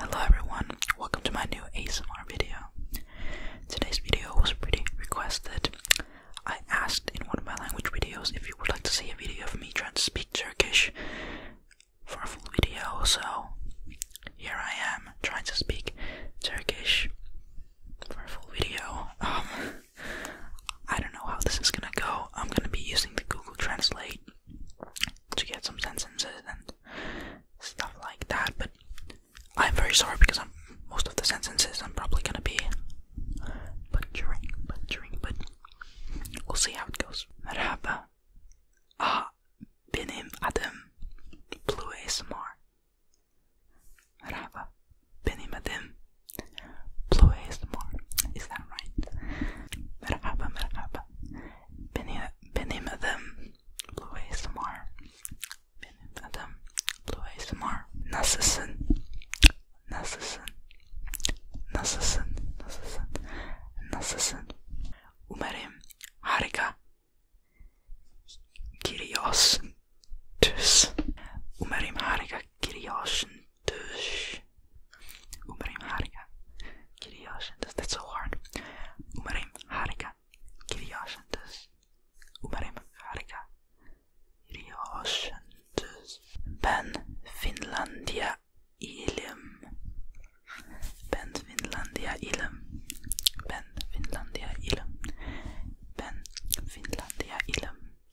Hello everyone, welcome to my new ASMR video. Today's video was pretty requested. I asked in one of my language videos if you would like to see a video of me trying to speak Turkish for a full video, so here I am trying to speak Turkish for a full video. Um, I don't know how this is gonna go. I'm gonna be using the Google Translate to get some sentences and stuff like that, but I'm very sorry because I'm, most of the sentences I'm probably gonna be butchering, butchering, but we'll see how it goes. Merhaba. Ah, benim adım Blue ASMR. Rava Benimadim Blue ASMR. Is that right? Merhaba merhaba. Benim adım Blue ASMR. Benim adım Blue ASMR. Nasılsın? Nasılsın? Nasılsın? Nasılsın? Nasılsın? Umarım harika giriyorsun. Umarım harika giriyorsun. Dus, umrim harika giriyorsun. that's so hard. Umrim harika giriyorsun. Dus, umrim harika ben Finlandia ilim. Ben Finlandia ilim. Ben Finlandia ilim. Ben Finlandia ilim.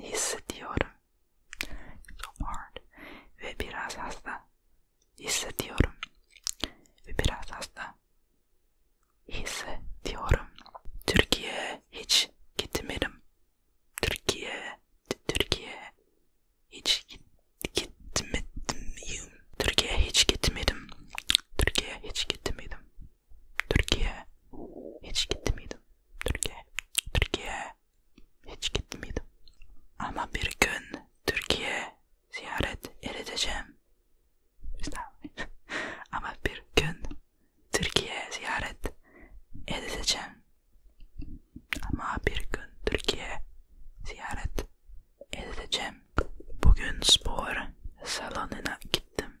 hissediyorum. So hard. Ve biraz hasta hissediyorum. Ve biraz hasta hissediyorum. Türkiye hiç gitmedim. Türkiye, Türkiye hiç git, gitmedim. Türkiye hiç gitmedim. Türkiye hiç gitmedim. Türkiye. Hiç gitti miydim? Türkiye. Türkiye. Hiç gitti miydim? Ama bir gün Türkiye ziyaret edeceğim. Ama bir gün Türkiye ziyaret edeceğim. Ama bir gün Türkiye ziyaret edeceğim. Bugün spor salonuna gittim.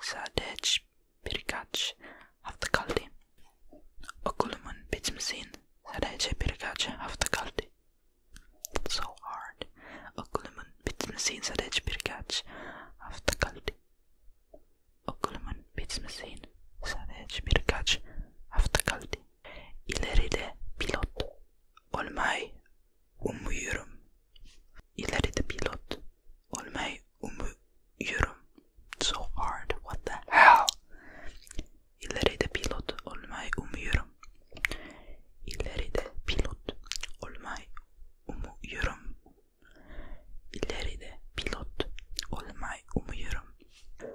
Sadece birkaç hafta kaldı. Okulumun bitmesin sadece birkaç hafta kaldı. That's so hard. Okulumun bitmesin sadece birkaç hafta kaldı. Okulumun bitmesin sadece birkaç hafta kaldı. İleride pilot olmayı umuyorum. ileride pilot olmayı umuyorum. So hard, what the hell? İleride pilot olmayı umuyorum. İleride pilot olmayı umuyorum. İleride pilot olmayı umuyorum.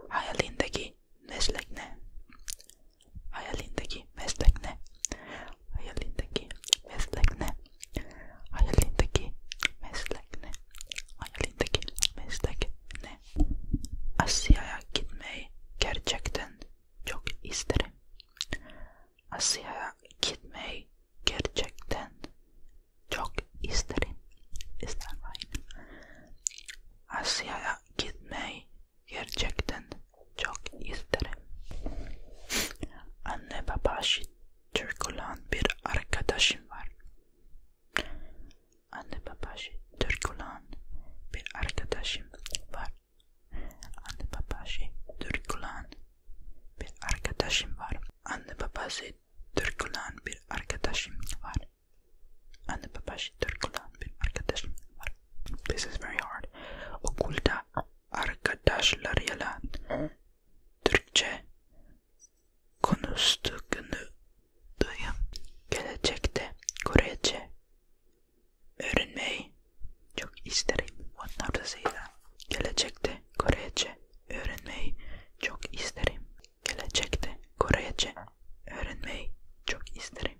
Hayalindeki meslek ne? Hayalindeki meslek ne? Hayalindeki meslek ne? Hayalindeki meslek ne? Hayalindeki meslek ne? Asya'ya gitmeyi gerçekten çok isterim. Asya'ya gitmeyi gerçekten çok isterim. İster miyim? Asya'ya gitmeyi gerçekten çok isterim. Anne baba Türk olan bir arkadaşım var. Anne baba Türk olan bir arkadaşım var. Anne baba Türk olan bir arkadaşım var. Anne babası Türk olan bir arkadaşım var. Anne babası Türk olan bir arkadaşım var. This is very hard. Okulda arkadaşlarıyla Türkçe konuştuğunu duyum. Gelecekte Korece öğrenmeyi çok isterim. Onlar da Gelecekte Korece öğrenmeyi çok isterim. Gelecekte Korece öğrenmeyi çok isterim.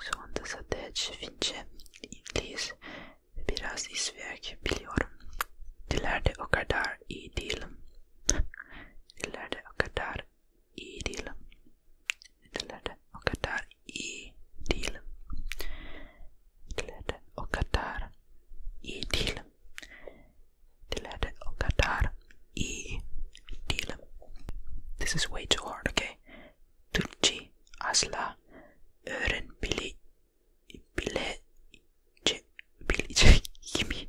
Şu anda sadece Fince, İngiliz ve biraz İsveç biliyorum. Dillerde o kadar iyi değilim. Dillerde o kadar iyi değilim. Dillerde o kadar iyi değilim. Dillerde o kadar i til. This is way too hard, okay? Tulci asla öğren bile bile bileceğimi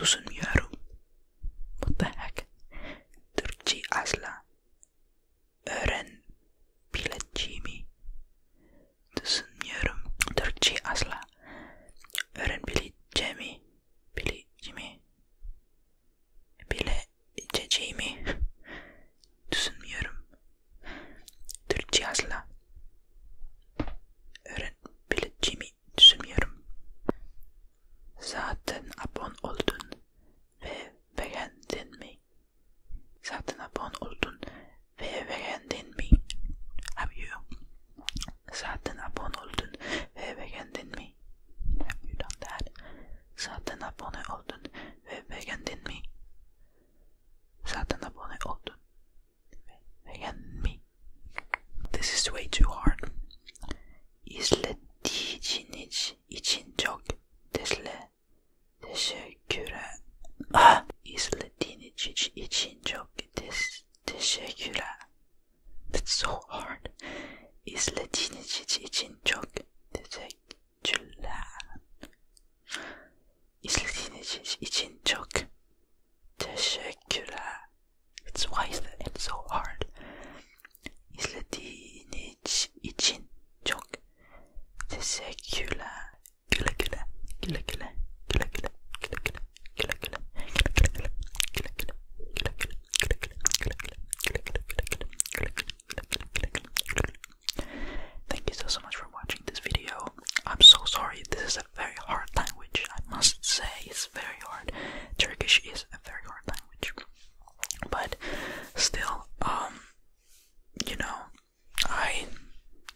düşünmüyorum. What the heck? Türkçe asla öğren bileceğimi düşünmüyorum. Türkçe asla öğren bileceğimi bileceğimi bile içeceğimi düşünmüyorum. Türkçe asla öğrenebileceğimi düşünmüyorum. Zaten abone oldun ve beğendin mi? Zaten abone oldun ve beğendin mi? Have you zaten abone oldun ve beğendin mi? You done that. Zaten abone oldun ve beğendin mi? Zaten abone oldun ve beğendin mi? This is way too hard. İzlediğiniz için çok teşekkür ah, İzlediğiniz için çok teşekkür That's so hard. Is Latinicici için çok teşekkürler. Is Latinicici için çok teşekkürler. It's why is that it's so hard. Is Latinici için çok teşekkürler. Güle güle, güle güle, güle güle, güle güle, güle güle, güle güle, güle güle, güle güle, güle güle. Thank you so so much for watching this video. I'm so sorry, this is a very hard language. I must say, it's very hard. Turkish is a very hard language, but still, um, you know, I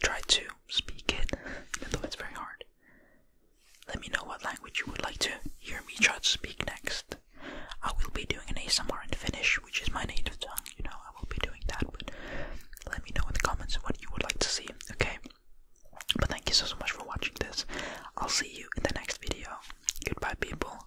try to speak it, even though it's very hard. Let me know what language you would like to hear me try to speak next. I will be doing an ASMR in Finnish, which is my native tongue, you know, I will be doing that, but let me know in the comments what you would like to see, okay? But thank you so, so much for watching this. I'll see you in the next video. Goodbye, people.